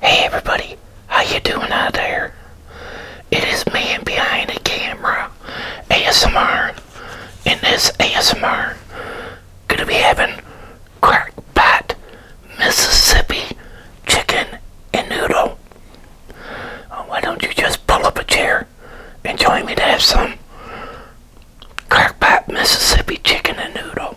Hey everybody, how you doing out there? It is man behind the camera, ASMR. and this ASMR, gonna be having crackpot Mississippi chicken and noodle. Uh, why don't you just pull up a chair and join me to have some crackpot Mississippi chicken and noodle?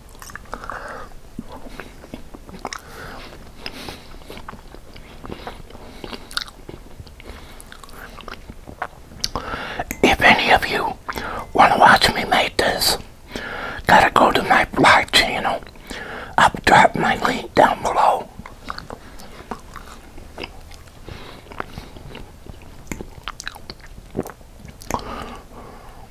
If any of you want to watch me make this, gotta go to my blog channel. I'll drop my link down below.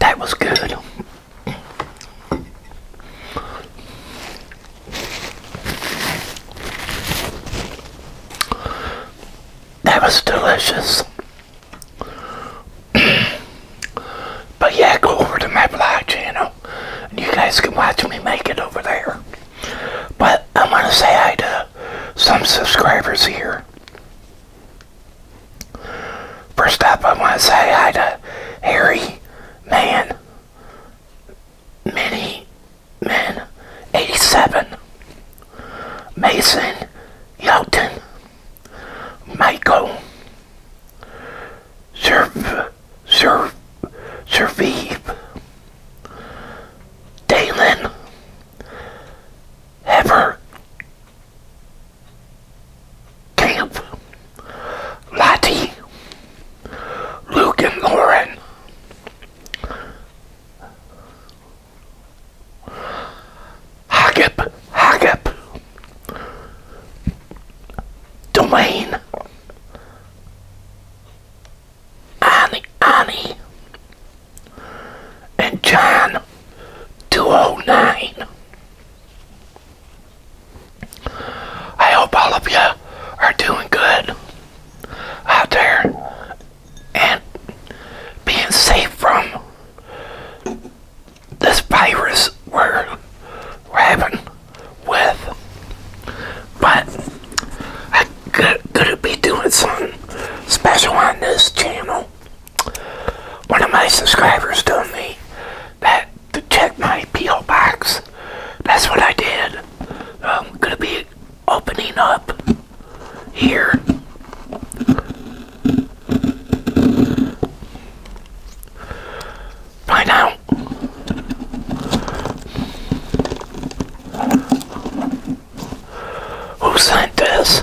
That was good. That was delicious but yeah, go over to my vlog channel you guys can watch me make it over there. But I'm going to say hi to some subscribers here. First up, I want to say hi to Harry Man, Mini Man 87, Mason Yelton, Michael, Serv, Serv, Servive, Dalen, Ever, Camp, Lottie, Luke and Lauren. Hagip, Hagip, Domain, Annie, Annie, and John 209. I hope all of you are doing good out there and being safe from this virus we're, we having with. But I gonna be doing something special on this channel. One of my subscribers told me that to check my P.O. box. That's what I did. I'm um, gonna be opening up here. Find out. Who sent this?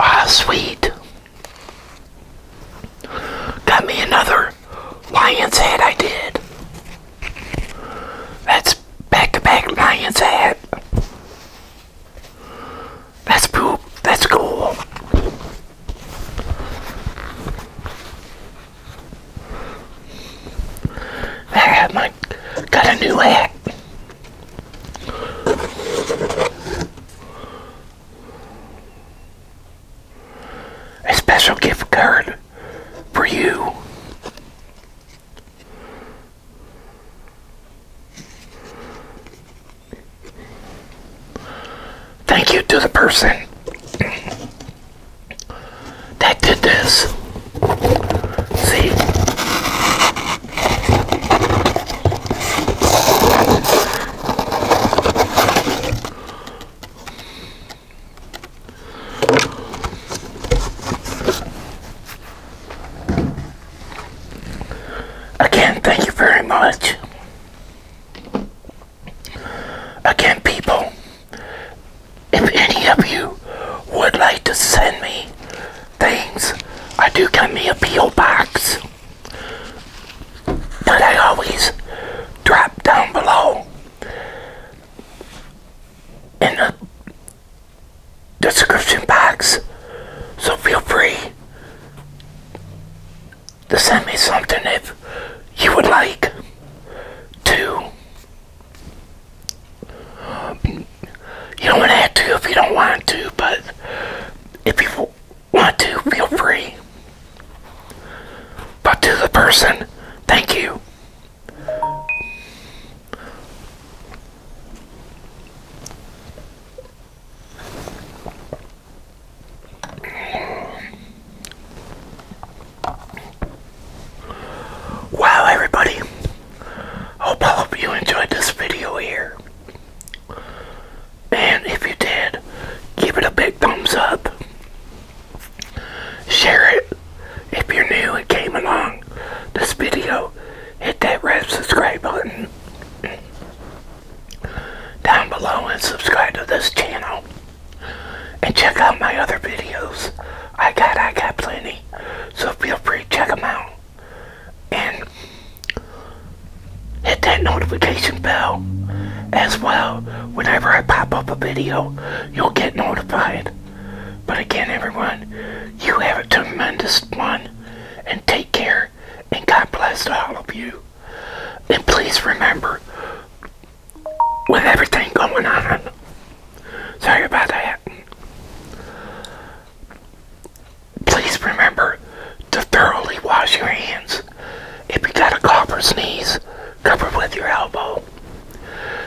Ah, sweet. Got me another Lion's Head I did. That's back-to-back -back Lion's Head. That's poop. That's cool. I have my got a new hat. A special gift card for you. Thank you to the person that did this. See? Again, thank you very much. Again, people, if any of you would like to send me things, I do get me a P.O. box that I always drop down below in the description box. So feel free to send me something if you would like to. You don't want to if you don't want to, but if you want to, feel free. But to the person, thank you. Wow, everybody. Hope you enjoyed this video here. And if you did, give it a big thumbs up. Share it. If you're new and came along this video, hit that red subscribe button down below and subscribe to this channel. And check out my other videos. I got, I got plenty. So feel free to check them out. And hit that notification bell as well whenever I pop up a video, you'll get notified. But again, everyone, you have a tremendous one, and take care, and God bless all of you. And please remember, with everything going on, sorry about that, please remember to thoroughly wash your hands. If you got a cough or sneeze, cover with your elbow.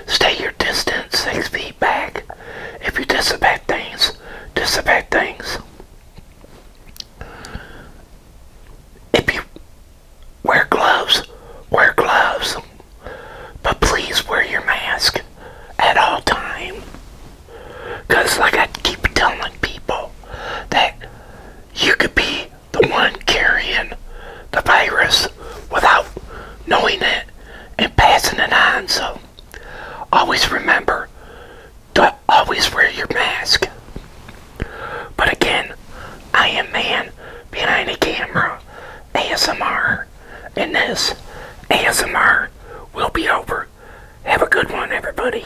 Stay your distance six feet back. If you dissipate things, dissipate things. If you wear gloves, wear gloves. But please wear your mask at all time. Because like I keep telling people that you could be the one carrying the virus without knowing it and passing it on. So always remember to always wear your mask. But again, I am man behind the camera, ASMR, and this ASMR will be over. Have a good one, everybody.